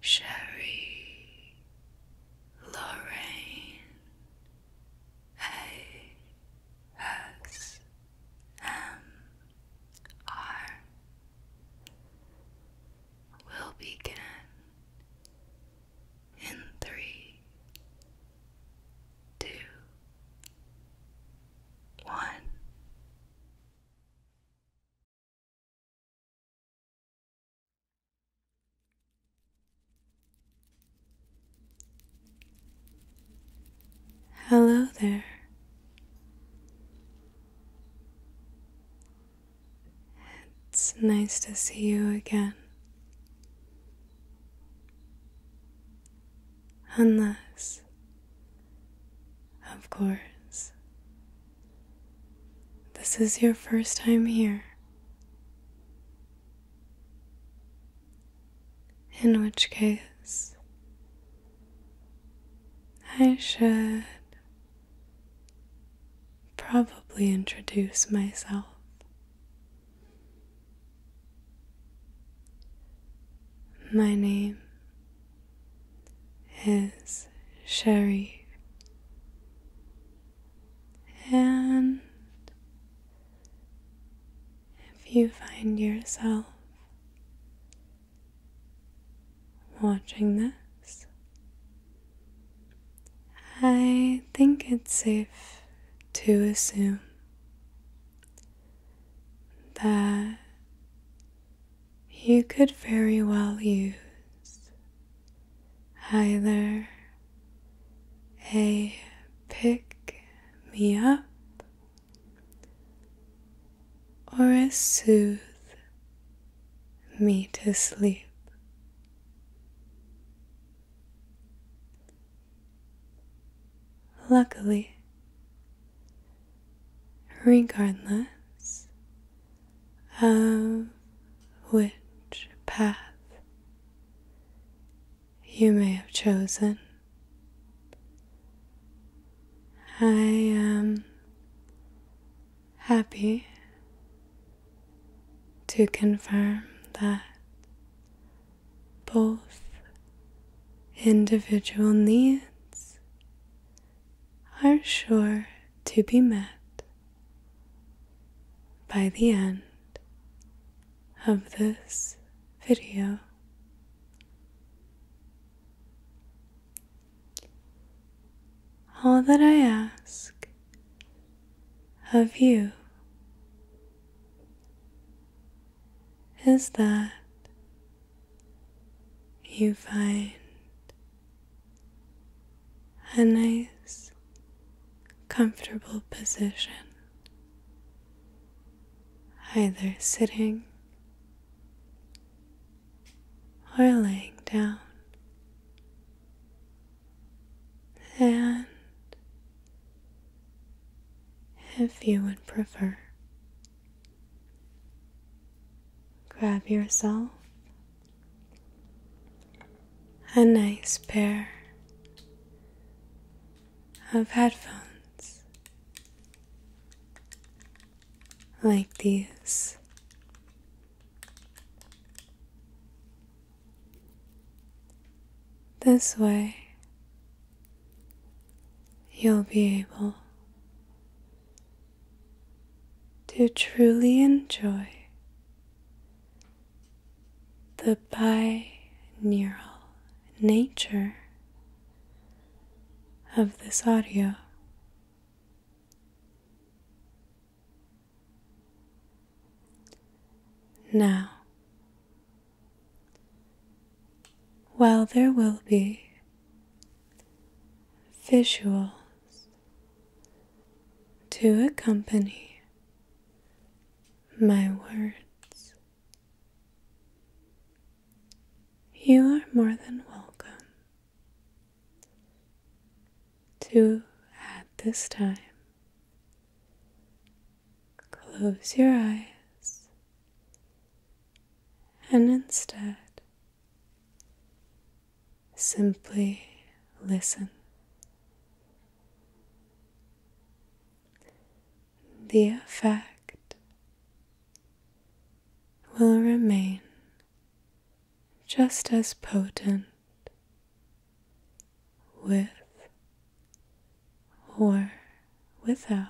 Sherry, Lorraine, A X M R will begin in three, two, one. Hello there. It's nice to see you again. Unless, of course, this is your first time here. In which case, I should probably introduce myself. My name is sherry and if you find yourself watching this, I think it's safe to assume that you could very well use either a pick me up or a soothe me to sleep. Luckily, regardless of uh, which path you may have chosen. I am happy to confirm that both individual needs are sure to be met by the end of this video. All that I ask of you is that you find a nice, comfortable position, either sitting or laying down, and if you would prefer. Grab yourself a nice pair of headphones like these. This way, you'll be able to truly enjoy the binaural nature of this audio. Now, while there will be visual to accompany my words. You are more than welcome to, at this time, close your eyes and instead Simply listen. The effect will remain just as potent with or without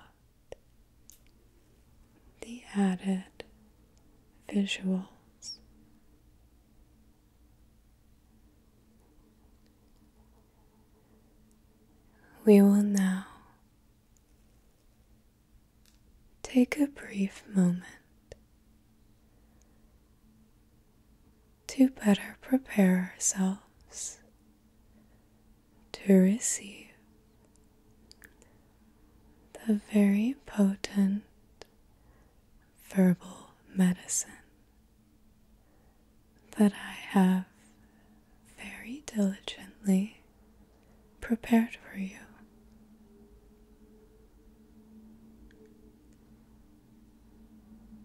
the added visuals. We will now take a brief moment to better prepare ourselves to receive the very potent verbal medicine that I have very diligently prepared for you.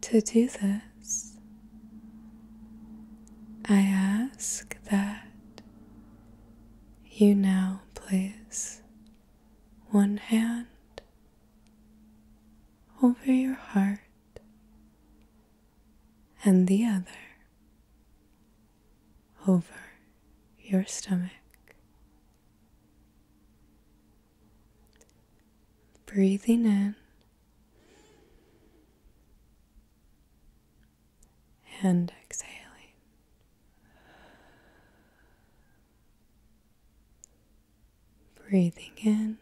To do this, I ask that you now place one hand over your heart and the other over your stomach. Breathing in and exhaling. Breathing in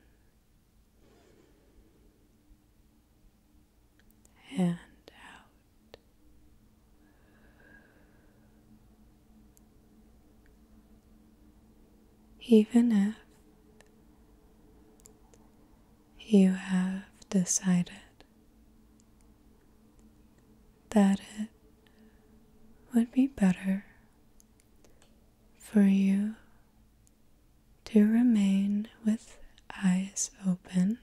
and out. Even if you have decided that it would be better for you to remain with eyes open.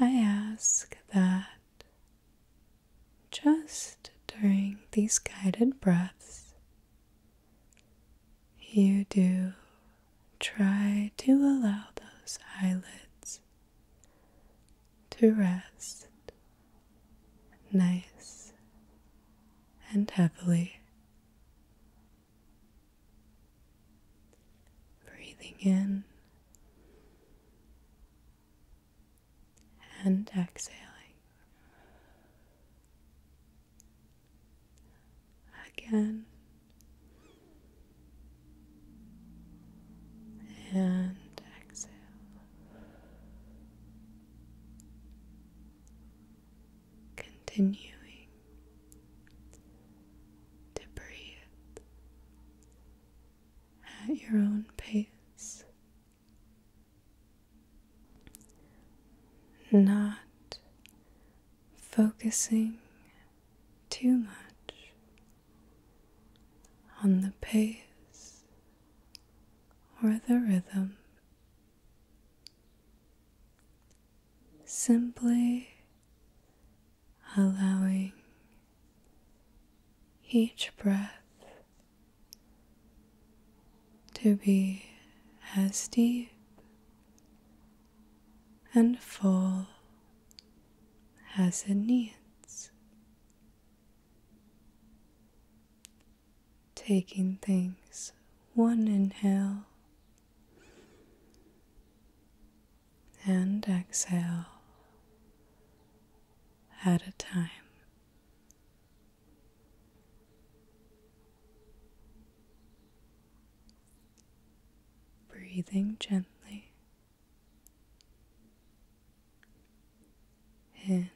I ask that just during these guided breaths, you do try to allow those eyelids to rest nice and heavily. Breathing in and exhaling. Again and exhale. Continuing to breathe at your own pace, not focusing too much on the pace or the rhythm. Simply allowing each breath to be as deep and full as it needs, taking things one inhale and exhale at a time. Breathing gently in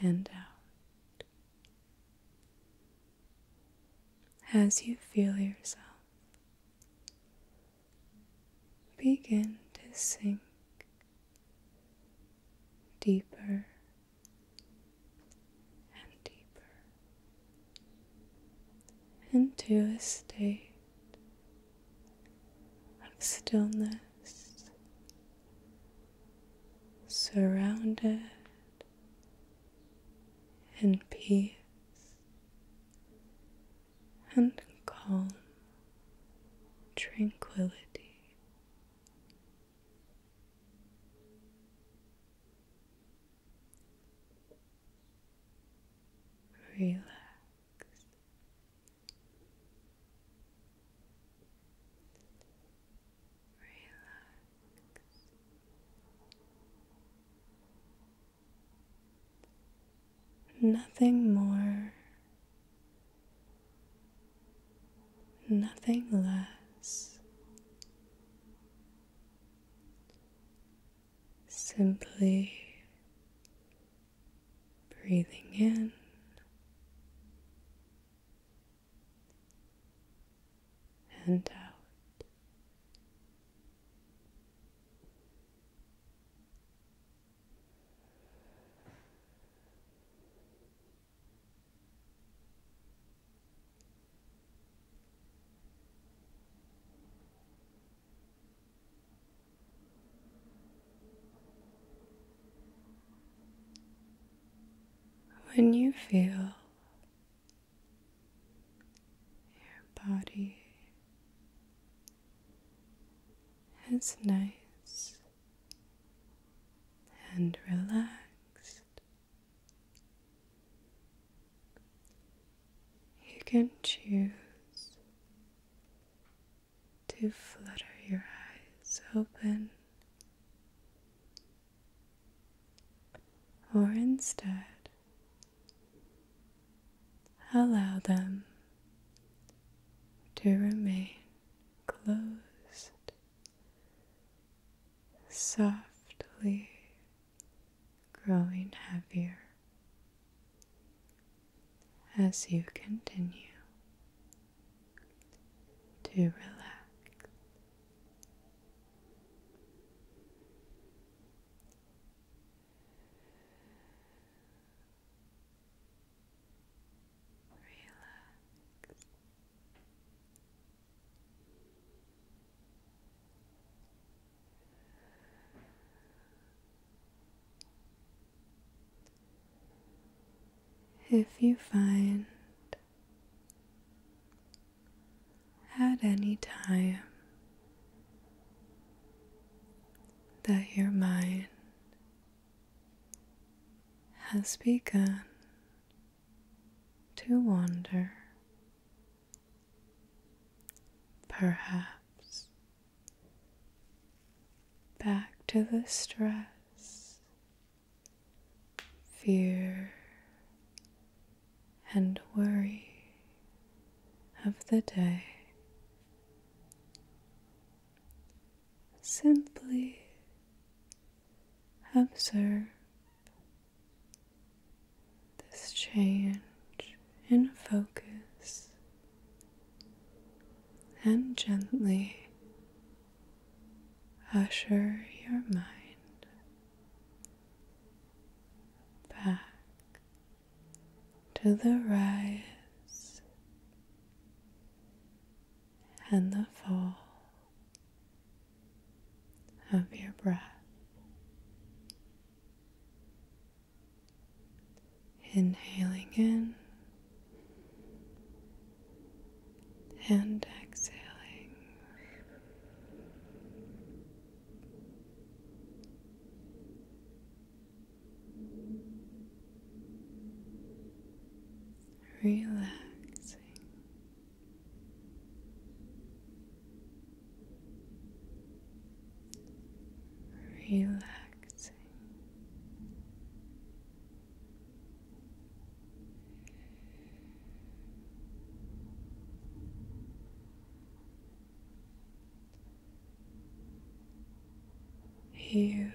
and out as you feel yourself begin to sink deeper and deeper into a state of stillness, surrounded in peace and calm tranquility. Relax. Relax. Nothing more, nothing less simply breathing in. And out. When you feel your body as nice and relaxed you can choose to flutter your eyes open, or instead allow them to remain closed softly growing heavier as you continue to relax. Relax. If you find at any time that your mind has begun to wander Perhaps back to the stress, fear, and worry of the day. Simply observe this change in focus and gently usher your mind back to the rise and the fall of your breath. Inhaling in and exhaling. Relaxing relaxing. You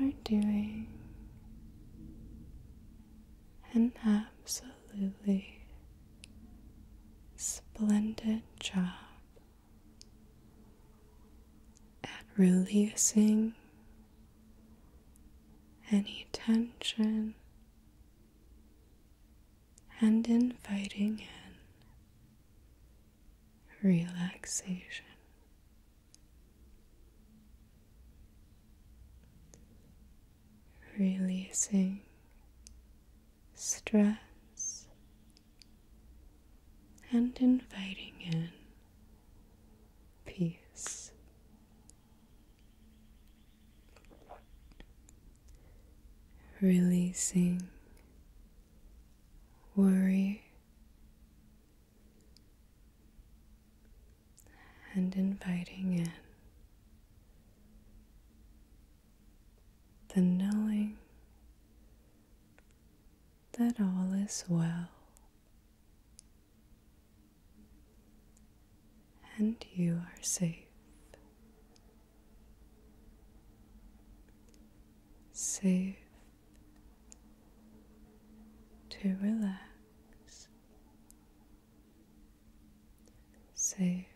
are doing an absolute Absolutely splendid job at releasing any tension and inviting in relaxation releasing stress and inviting in peace. Releasing worry and inviting in the knowing that all is well and you are safe. Safe to relax safe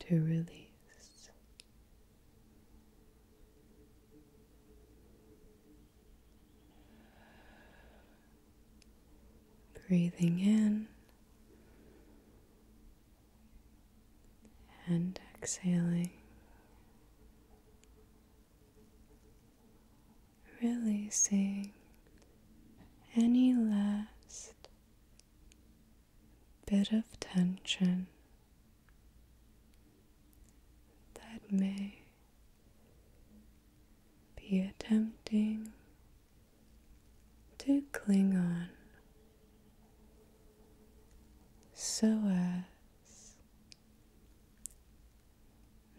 to release. Breathing in and exhaling releasing any last bit of tension that may be attempting to cling on so as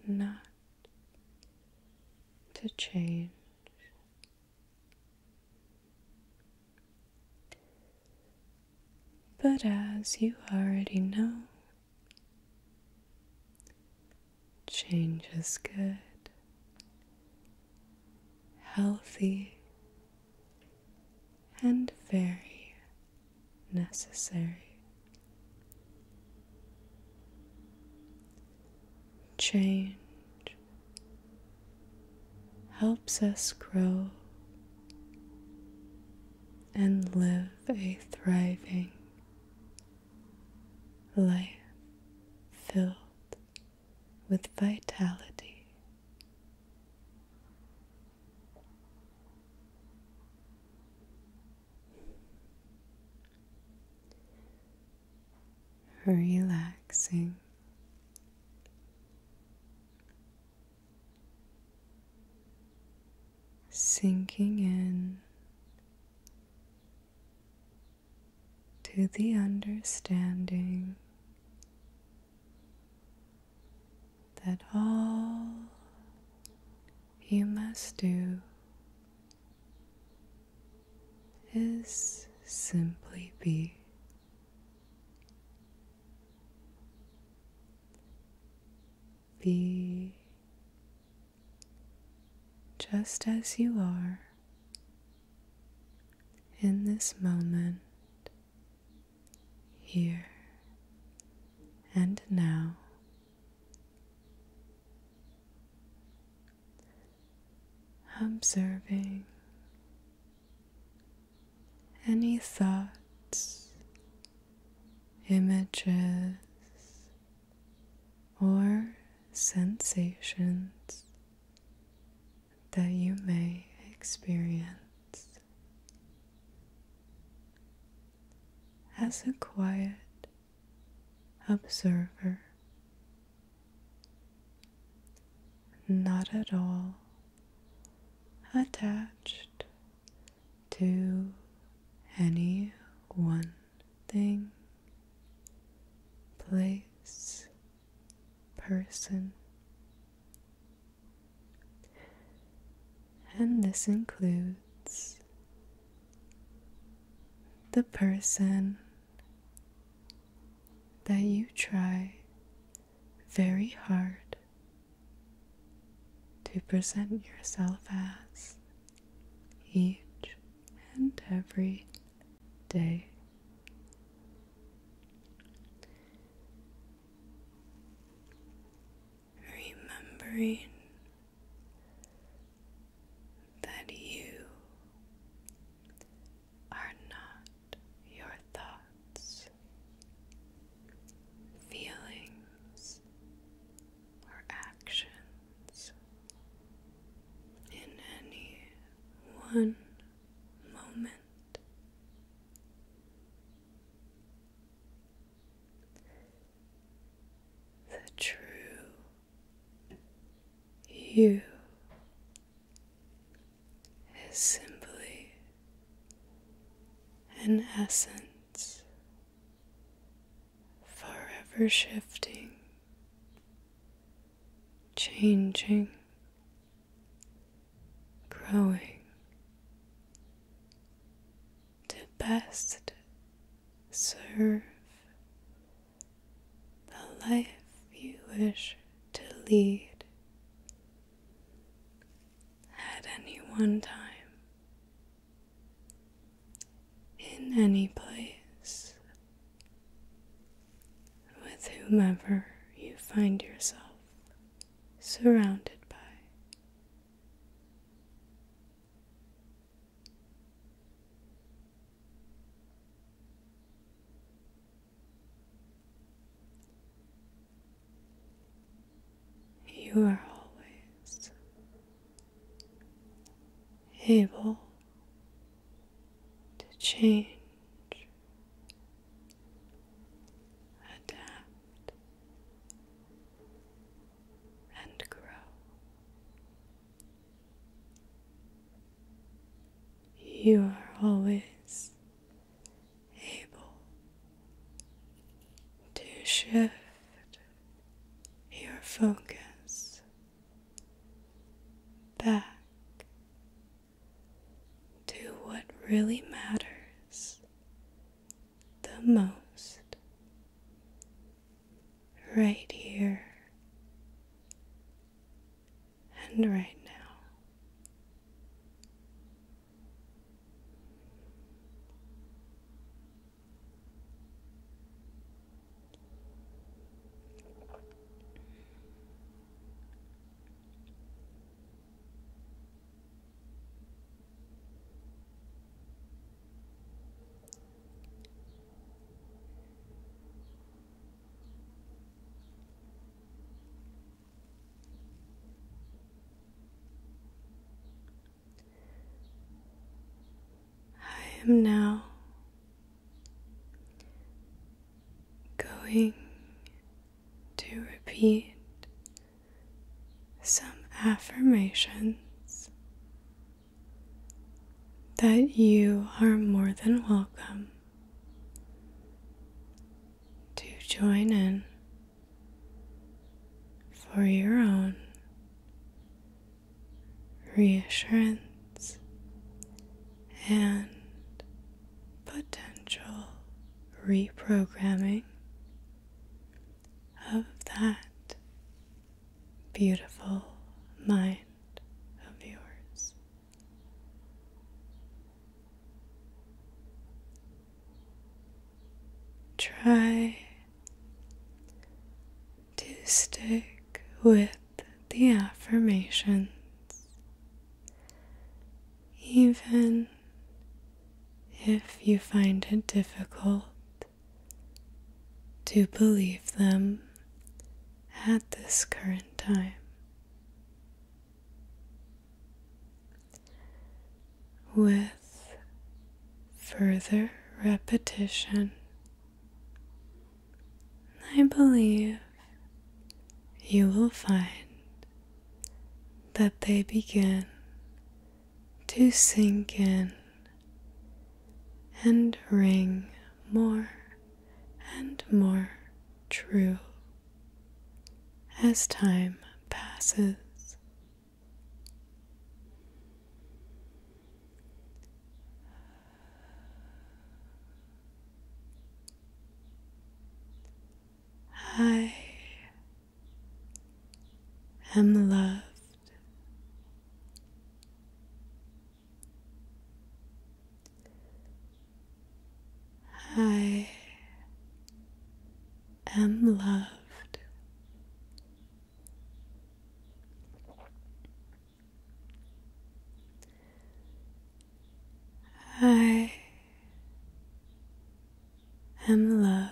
not to change. But as you already know, change is good, healthy, and very necessary. Change helps us grow and live a thriving life filled with vitality relaxing. Sinking in to the understanding that all you must do is simply be. Be just as you are in this moment, here and now observing any thoughts, images, or sensations that you may experience. As a quiet observer, not at all attached to any one thing, place, person. And this includes the person that you try very hard to present yourself as each and every day. Remembering that you are not your thoughts, feelings, or actions in any one moment. The true you is simply an essence forever shifting, changing, growing to best serve the life you wish to lead at any one time, in any place, with whomever you find yourself surrounded by. You are always able to change, adapt, and grow. You are always able to shift your focus back to what really matters the most right here and right now. I am now going to repeat some affirmations that you are more than welcome to join in for your own reassurance and potential reprogramming of that beautiful mind of yours. Try to stick with the affirmations even if you find it difficult to believe them at this current time. With further repetition, I believe you will find that they begin to sink in and ring more and more true as time passes. I am loved. I am loved. I am loved.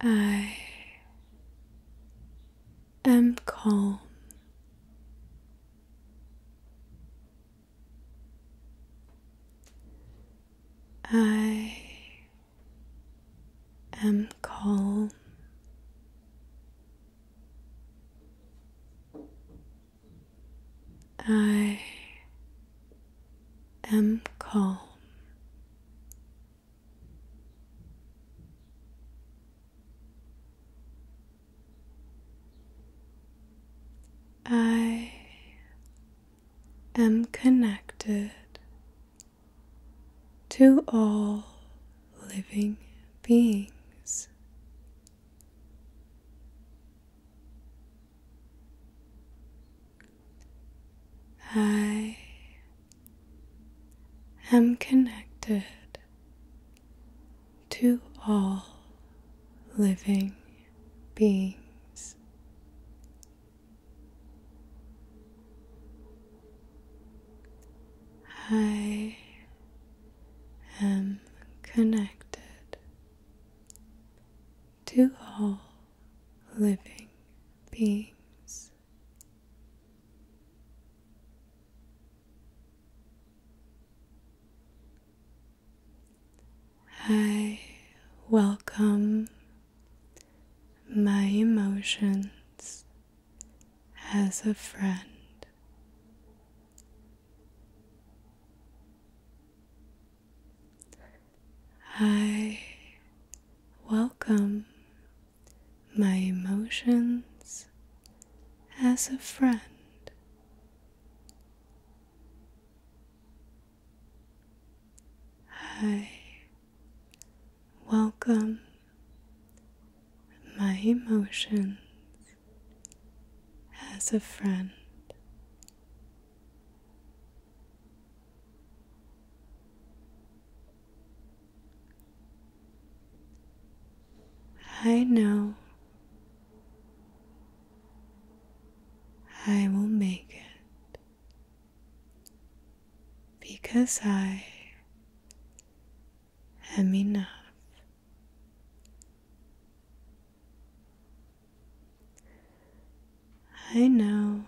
I am calm. I am calm. I am calm. I am connected to all living beings. I am connected to all living beings. I am connected to all living beings. I welcome my emotions as a friend. I welcome my emotions as a friend. I welcome my emotions as a friend. I know I will make it because I am enough. I know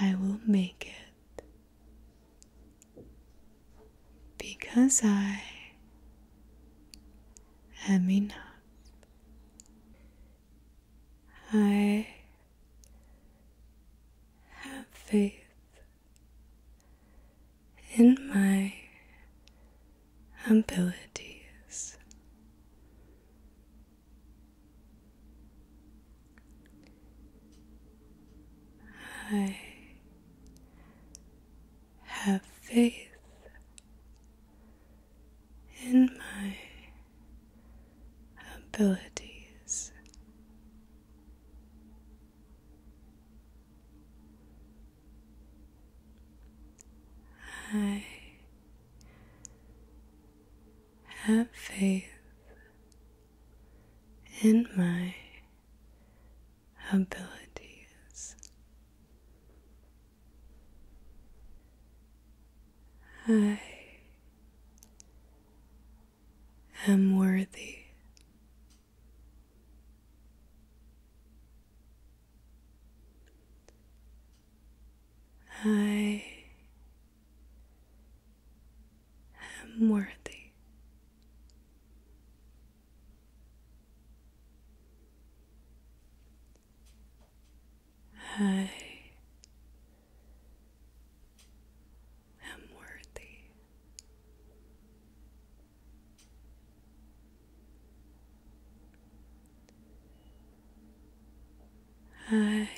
I will make it because I am enough. I have faith in my abilities. I have faith in my abilities. I have faith in my abilities. I am worthy. I am worthy. I am worthy. I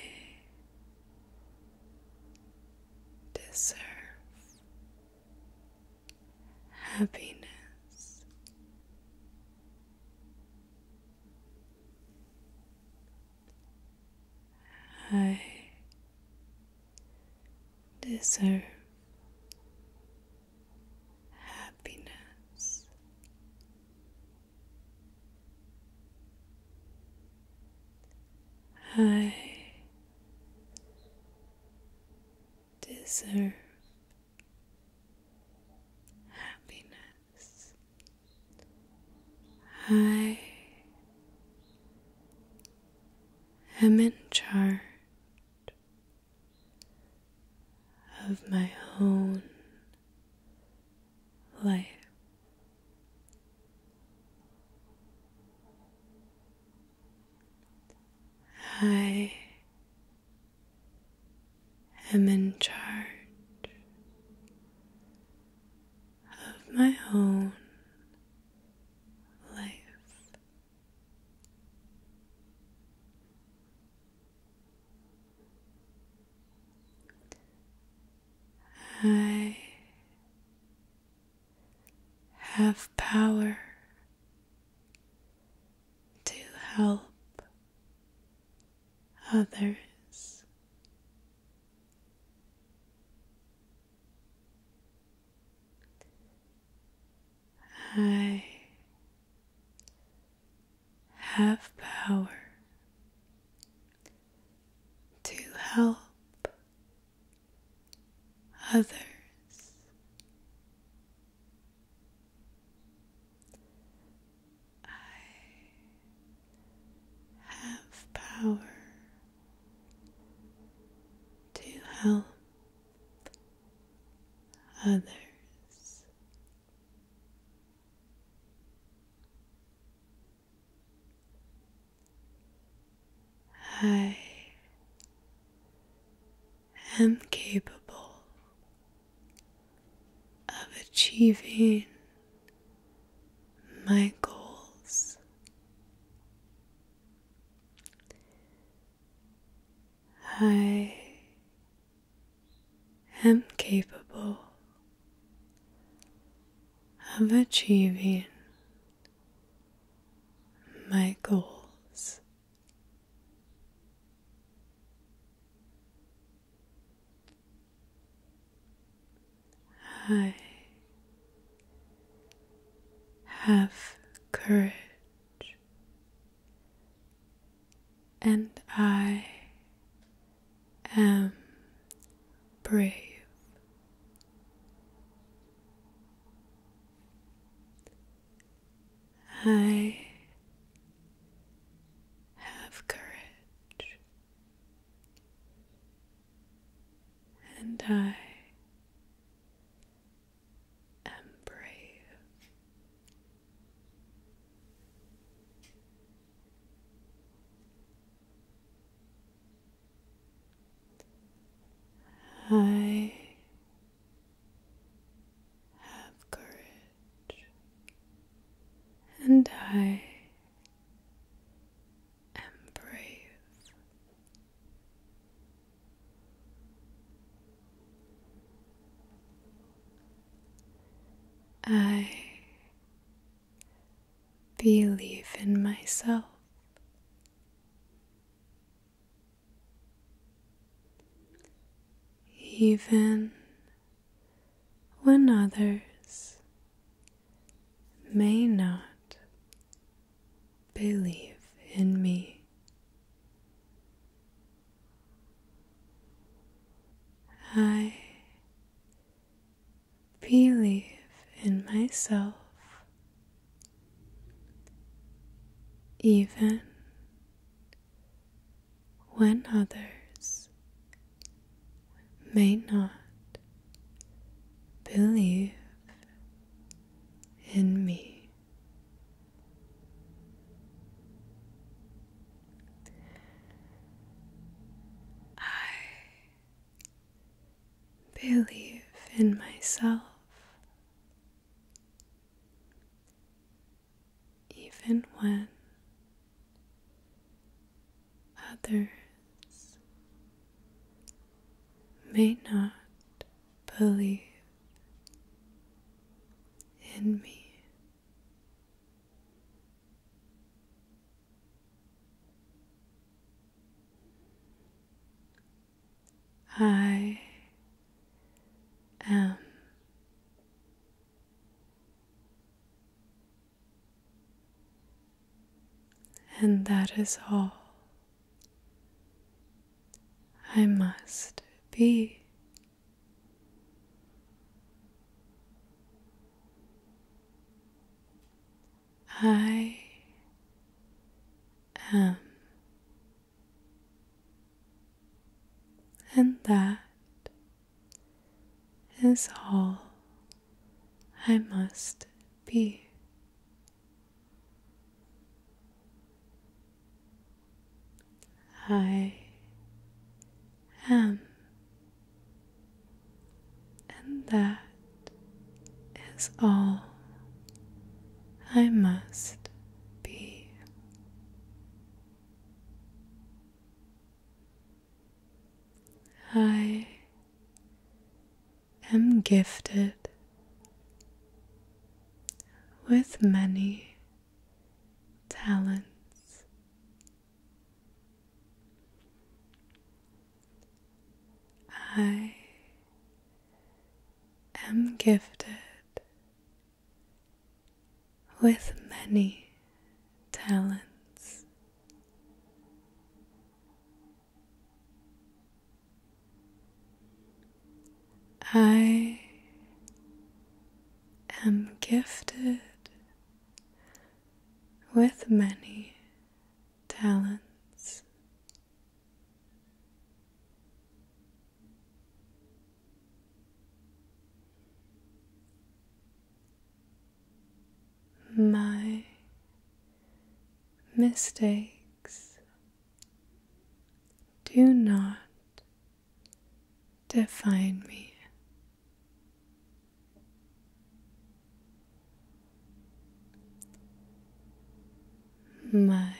deserve happiness. I deserve happiness. I deserve happiness. I am in charge of my own life. I am in charge of my own life. I have power to help others. I have power to help others. I have power to help others. I am capable of achieving my goals. I i am capable of achieving my goals. I have courage and I am brave. I have courage, and I am brave. I have courage and I am brave. I believe in myself. Even when others may not believe in me, I believe in myself even when others may not believe in me. I believe in myself even when others may not believe in me. I am and that is all I must be. I am, and that is all I must be. I M. And that is all I must be. I am gifted with many talents I am gifted with many talents. I am gifted with many talents. My mistakes do not define me. My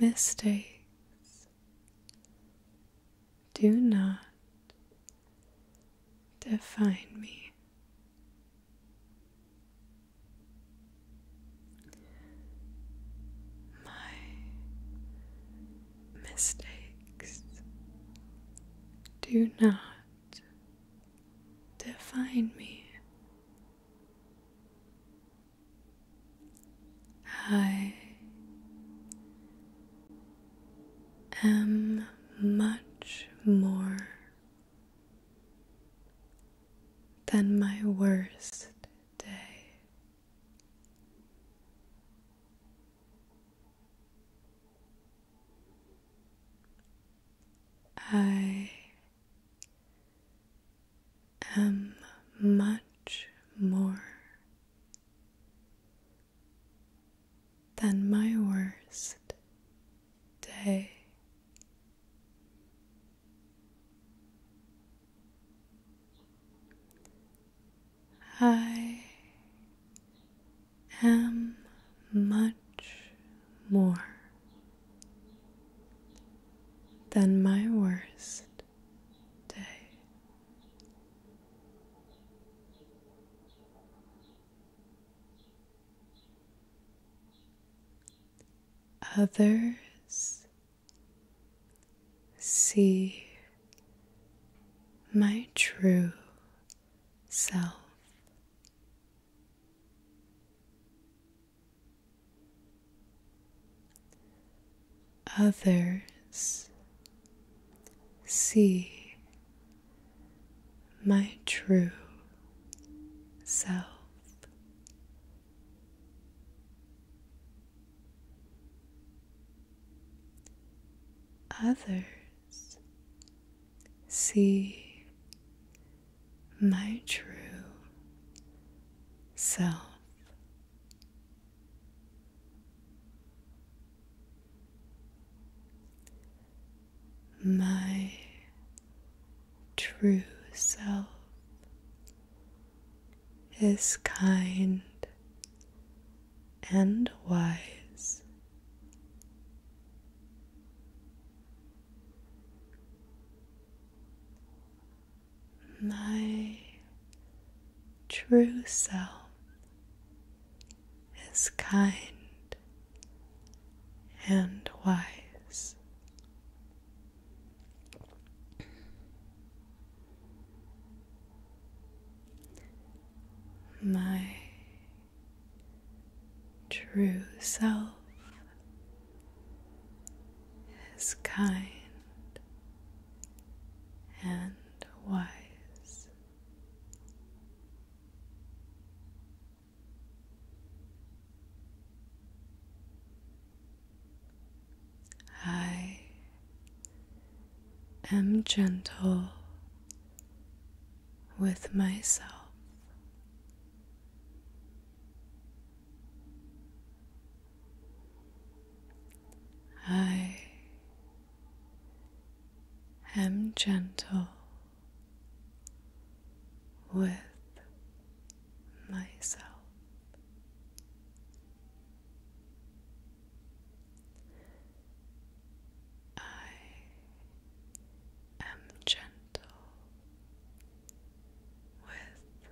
mistakes do not define me. My mistakes do not define me. I am much more than my worst day. I am much more than my worst day. I am much more than my worst day. Others see my true self. Others see my true self. Others see my true self. My true self is kind and wise. My true self is kind and wise my true self is kind and wise. I am gentle with myself. I am gentle with myself. I am gentle with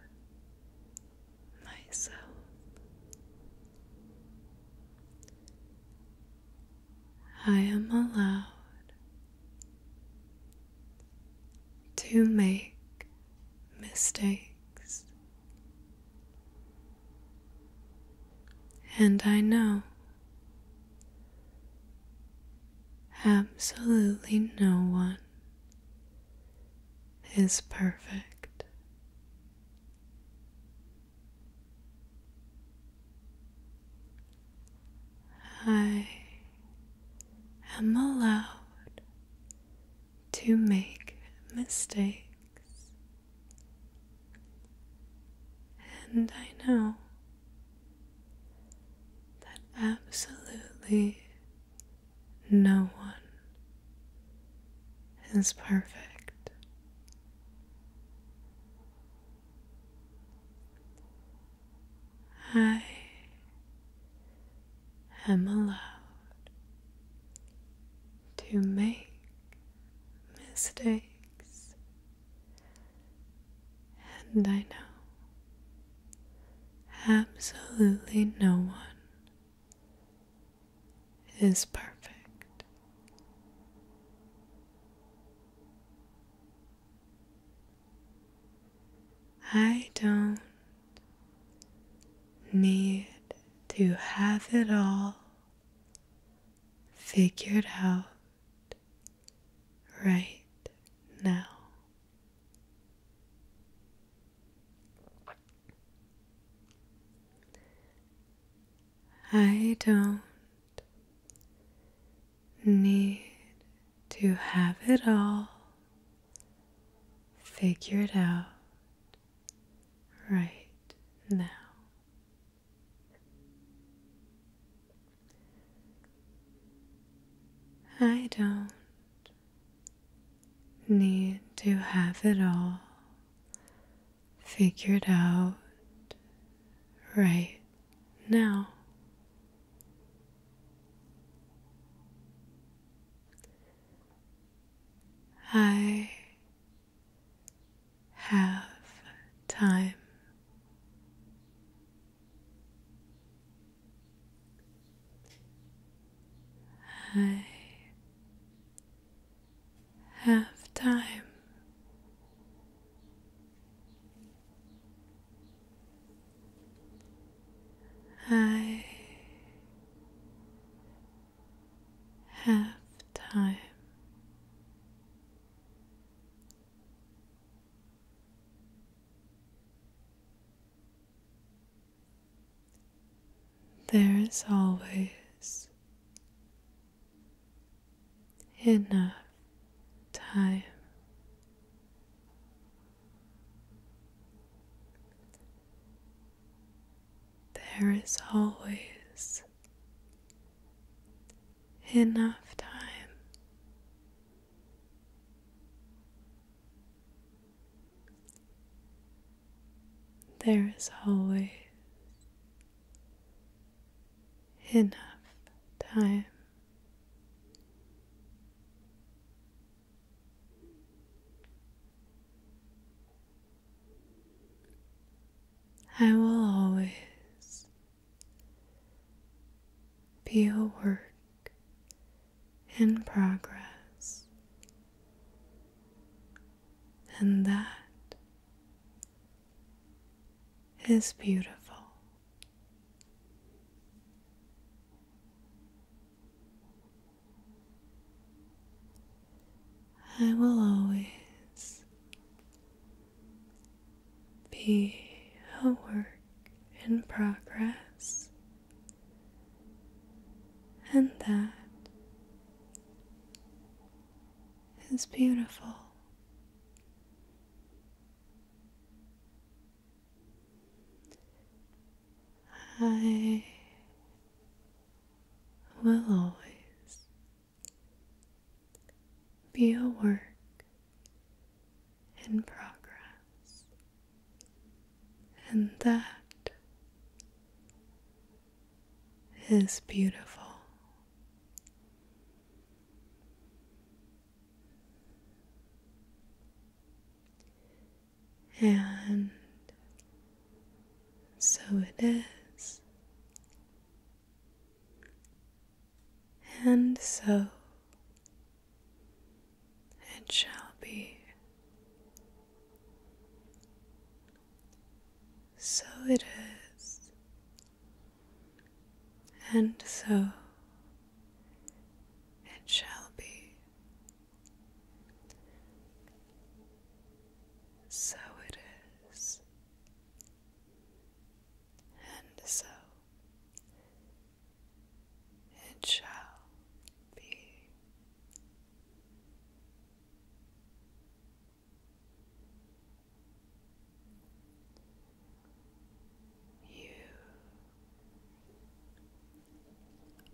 myself. I am allowed to make mistakes. And I know absolutely no one is perfect. I am allowed to make mistakes. And I know that absolutely no one is perfect. I am allowed to make mistakes. And I know absolutely no one is perfect. I don't need to have it all figured out right now. I don't need to have it all figured out right now. I don't need to have it all figured out right now. I have time. I have time. I have time. There is always enough time. There is always enough time. There is always enough time. I will always be a work in progress, and that is beautiful. I will always be a work in progress, and that is beautiful. I will always be a work in progress, and that is beautiful. And so it is and so it shall be. So it is. And so it shall be. So it is and so it shall be. You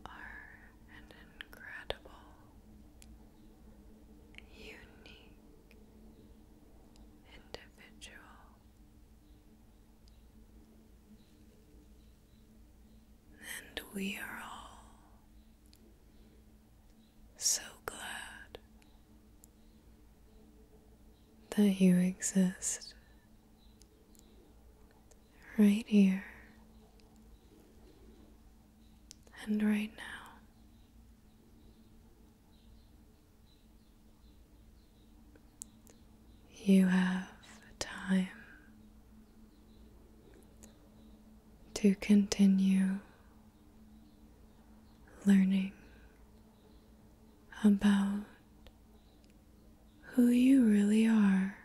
are an incredible, unique individual. And we are all so glad that you exist right here and right now. You have time to continue learning about who you really are,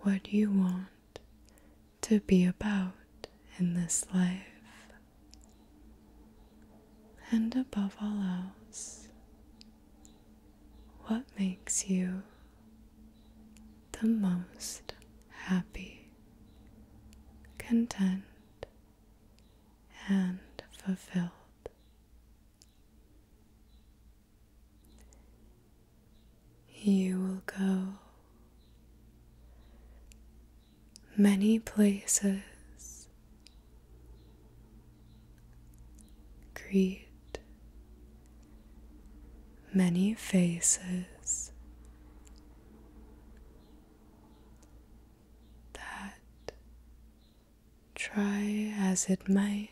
what you want to be about in this life. And above all else, what makes you the most happy, content, and fulfilled? You will go Many places greet many faces that try as it might.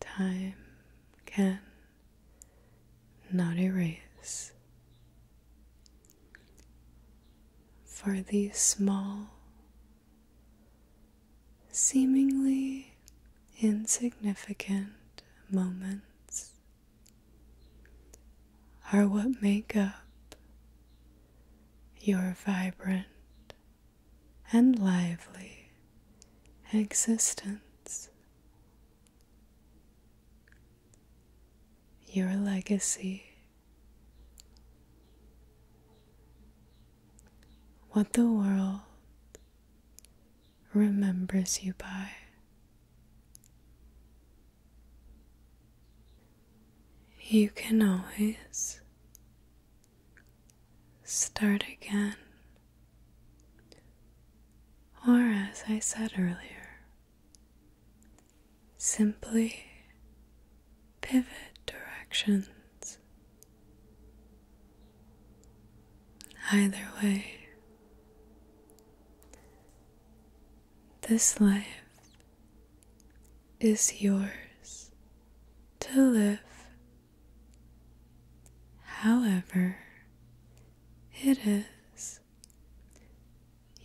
Time can not erase. For these small, seemingly insignificant moments are what make up your vibrant and lively existence your legacy, what the world remembers you by. You can always start again. Or, as I said earlier, simply pivot directions. Either way, this life is yours to live however it is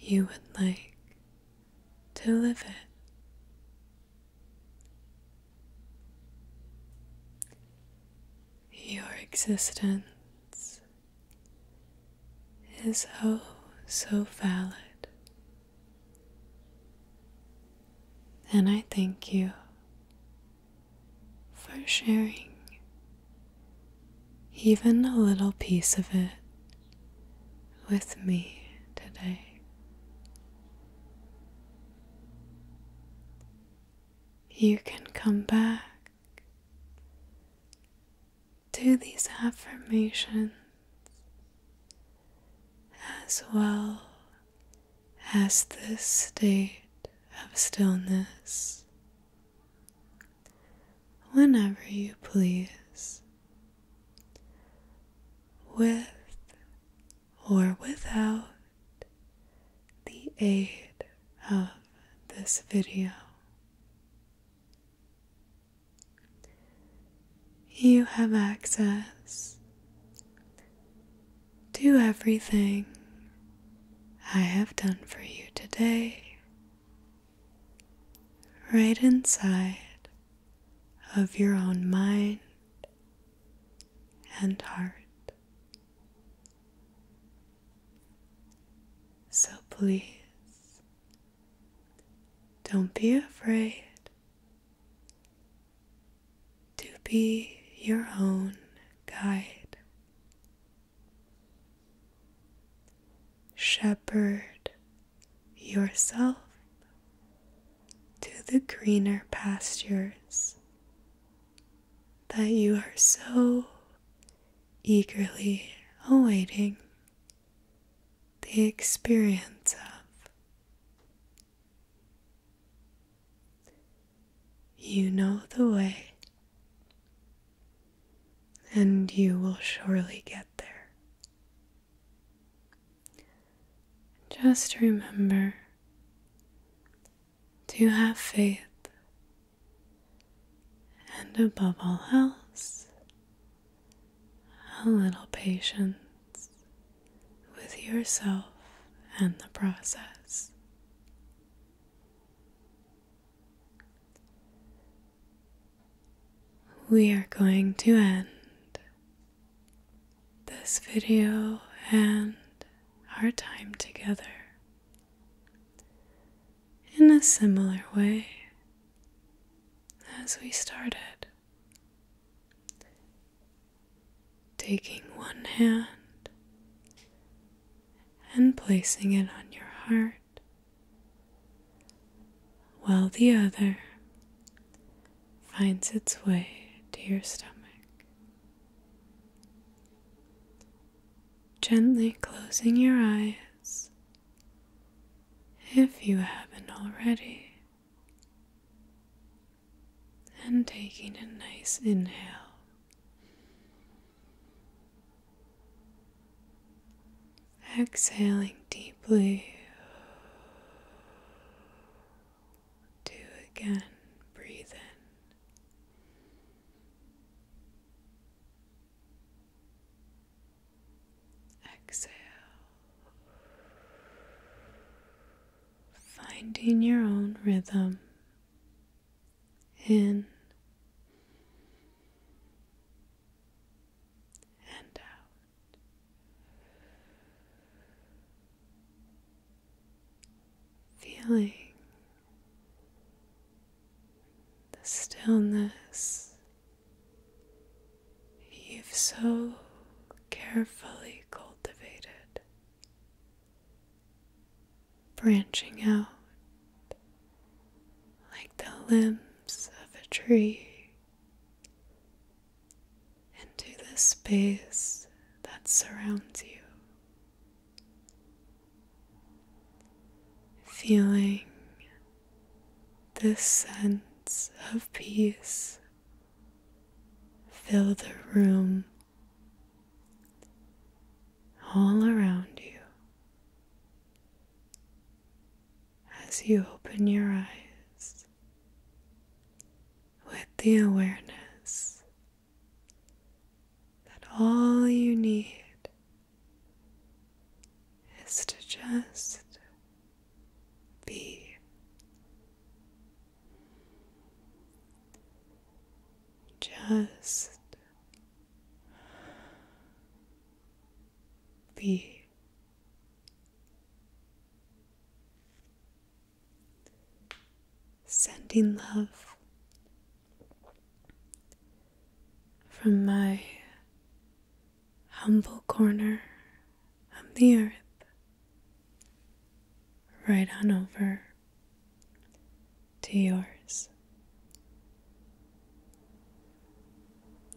you would like to live it. Your existence is oh so valid, and I thank you for sharing even a little piece of it with me today. You can come back to these affirmations as well as this state of stillness whenever you please, with or without the aid of this video. You have access to everything I have done for you today, right inside of your own mind and heart. So please don't be afraid to be your own guide Shepherd yourself to the greener pastures that you are so eagerly awaiting the experience of. You know the way and you will surely get there. Just remember to have faith, and above all else, a little patience with yourself and the process. We are going to end this video and our time together in a similar way as we started. Taking one hand and placing it on your heart, while the other finds its way to your stomach. Gently closing your eyes if you haven't already. And taking a nice inhale Exhaling deeply. Do again. Breathe in. Exhale. Finding your own rhythm in and out. Feeling the stillness you've so carefully cultivated branching out like the limbs of a tree into the space that surrounds you. Feeling this sense of peace fill the room all around you as you open your eyes with the awareness that all you need is to just be. Just be sending love from my humble corner of the earth right on over to yours.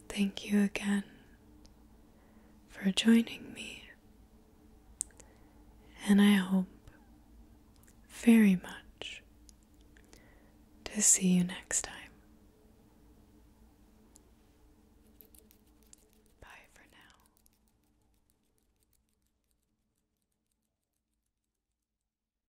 Thank you again for joining me, and I hope very much to see you next time.